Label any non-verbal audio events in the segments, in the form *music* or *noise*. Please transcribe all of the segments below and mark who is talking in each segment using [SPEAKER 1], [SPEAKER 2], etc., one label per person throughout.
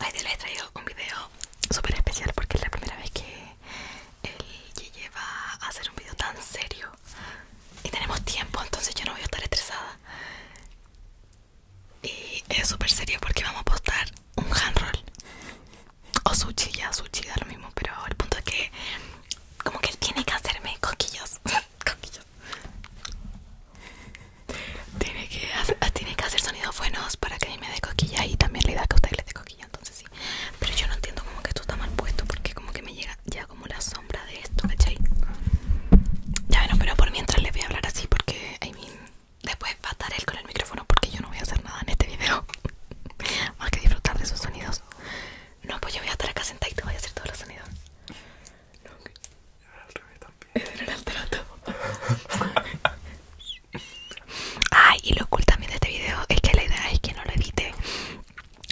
[SPEAKER 1] Hoy les he traído un video súper especial porque es la primera vez que el lleva a hacer un video tan serio y tenemos tiempo, entonces yo no voy a estar estresada. Y es súper serio porque vamos a postar un hand roll o sushi, ya sushi chilla lo mismo, pero el punto es que como que él tiene que hacerme coquillos, *laughs* Tiene que, hacer, sonidos buenos para que a me dé coquilla y también le da que a usted le entonces sí. Pero yo no entiendo como que esto está mal puesto porque como que me llega ya como la sombra de esto, ¿cachai? Ya no, pero por mientras les voy a hablar así porque, después va a estar él con el micrófono porque yo no voy a hacer nada en este video. *laughs* Más que disfrutar de sus sonidos. No, pues yo voy a estar acá sentado y te voy a hacer todos los sonidos. No, que... Era también. *laughs* Era el *laughs* Ay y lo cool también de este video es que la idea es que no lo edite.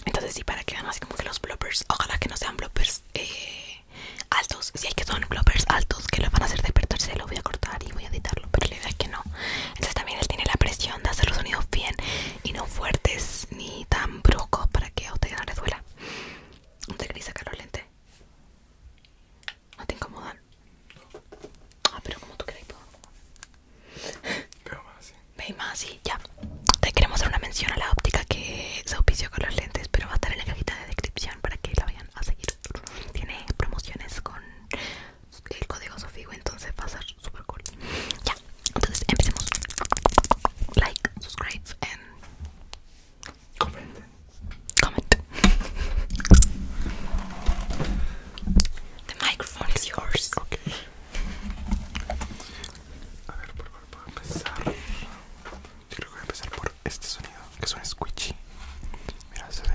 [SPEAKER 1] Entonces sí, para que vean así como que los bloopers, ojalá que no sean bloopers eh, altos. Si hay que son bloopers altos que lo van a hacer despertarse, lo voy a cortar y voy a editarlo. Pero la idea es que no. Entonces también él tiene la presión de hacer los sonidos bien y no fuertes ni tan bruscos para que a ustedes no les duela. No te queréis sacar los lentes. No te incomodan. Ah, pero como tú crees Pero más así. más así, ya. Te queremos hacer una mención a la óptica que se auspició con los lentes, pero va a estar en la cajita de descripción para que la vayan a seguir. Tiene promociones con el código Sofigo, entonces va a ser super cool. Ya, entonces empecemos. Like, subscribe, and comenten. comment. the microphone is yours. Okay. A por cuál puedo empezar. Yo creo voy a empezar por este sonido, que suena squishy. Mira, se ve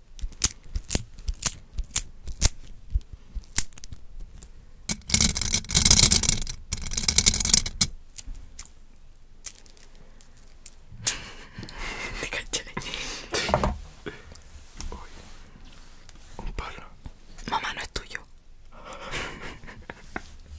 [SPEAKER 1] Te caché. Un palo. Mamá, no es tuyo. *laughs*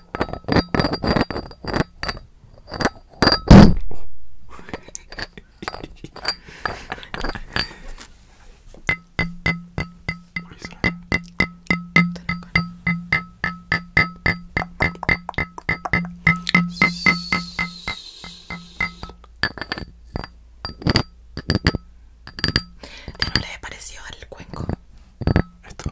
[SPEAKER 1] ¿Qué no le pareció al cuenco? Esto.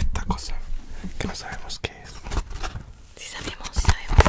[SPEAKER 1] Esta cosa que no sabemos qué es. Si sabemos, si sabemos.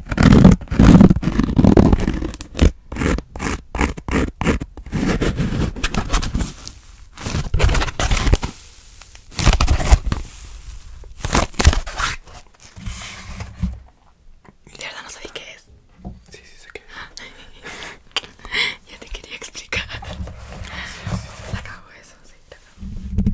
[SPEAKER 1] ¿De verdad no sabía qué es. Sí, sí sé qué es. *laughs* Ya te quería explicar. La cago eso, sí,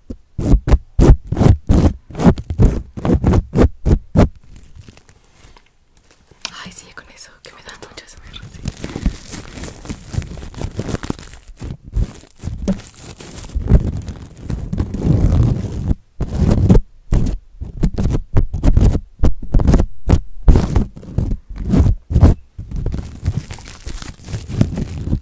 [SPEAKER 1] Ay, sigue con eso, que me da mucho ese sí.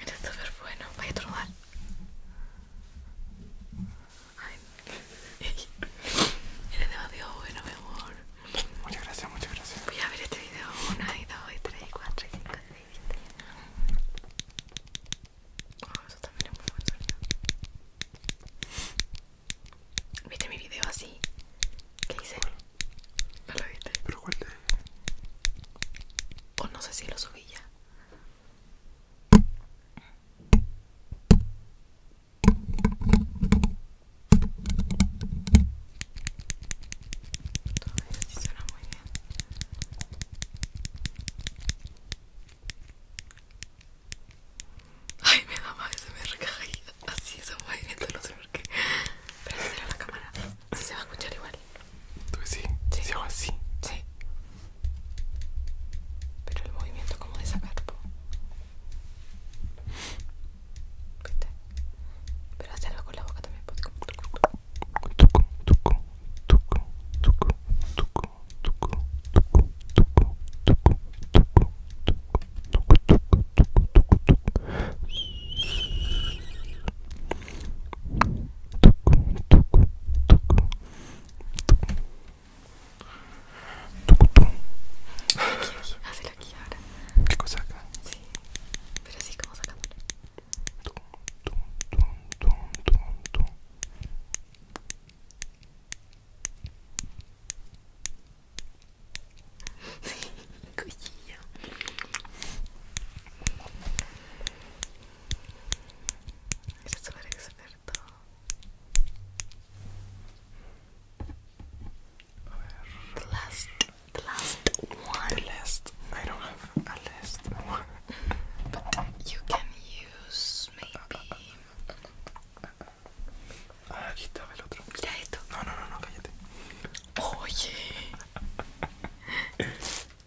[SPEAKER 1] eres súper bueno, vaya a trobar. *laughs* Eres demasiado bueno, mi amor. Muchas gracias, muchas gracias. Voy a ver este video 1, 2, 3, 4, 5, 6, 7. eso también es muy ¿Viste mi video así? ¿Qué hice? ¿No lo viste? ¿Pero cuál O no sé si lo subí ya Todavía sí suena muy bien. Ay, me da mal, se me recae así muy movimiento, no sé por qué. Pero si será la cámara, si se va a escuchar igual. ¿Tú sí, sí, así. Sí. Pero el movimiento como de sacar. ¿Viste? Pero hacerlo con la boca también. Aquí, aquí, hazlo aquí ahora. ¿Qué cosa acá? Sí, pero así como sacándolo. Sí, cuchillo. Eres súper last, last one. The last. I don't have a last but you can use maybe. Ah, aquí estaba el otro. Mira esto. No, no, no, no cállate. Oye. *laughs*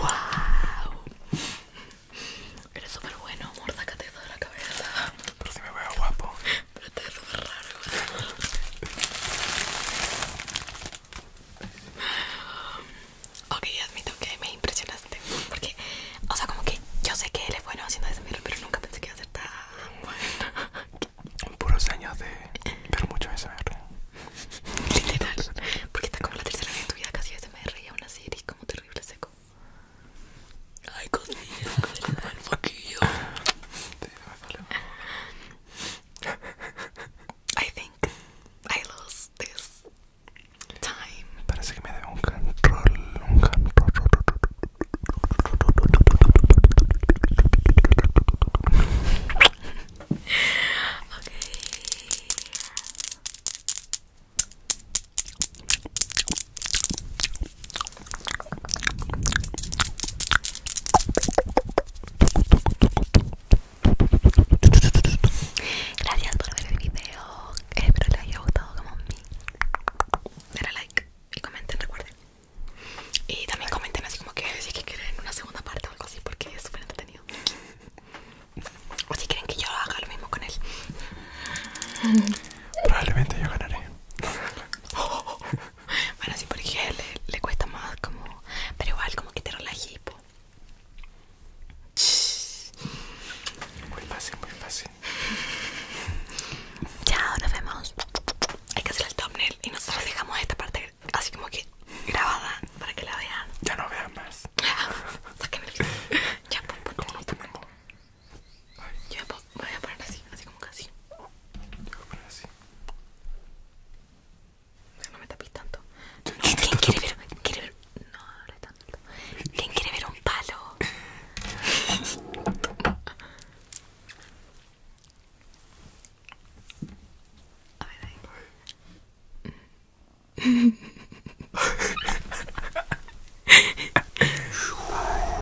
[SPEAKER 1] ¡Wow! Eres súper bueno, amor, sácate eso de la cabeza. Pero si me veo guapo. Pero te ves súper ok, admito que me impresionaste. Porque, o sea, como que yo sé que él es bueno haciendo ese pero nunca pensé que iba a ser tan bueno. Puros años de. Pero mucho SMR. Literal. Porque está como la tercera vez en tu vida casi SMR y aún una serie como terrible seco. Ay, conmigo, el foquillo. I think I lost this time. Parece okay. *laughs* *laughs* Gracias por ver el video. Espero les haya gustado como a mí. Denle like y comenten, recuerden. Y también comenten así como que si quieren una segunda parte o algo así porque es súper entretenido. O si quieren que yo haga lo mismo con él. Probablemente yo ganaré. *laughs* bueno, sí, porque le, le cuesta más como... Pero igual como que te relajes Muy fácil, muy fácil. Ya, *laughs* nos vemos. Hay que hacer el thumbnail y nosotros dejamos esta parte así como que grabada para que la vean. Ya no vean más. *laughs* Ah, ya, yo me pues, voy a poner así, así como casi. Voy a poner así. No me tapis tanto. ¿Quién quiere ver? ¿Quiere ver? No, no tanto. ¿Quién quiere ver un palo? A ver ahí. *laughs*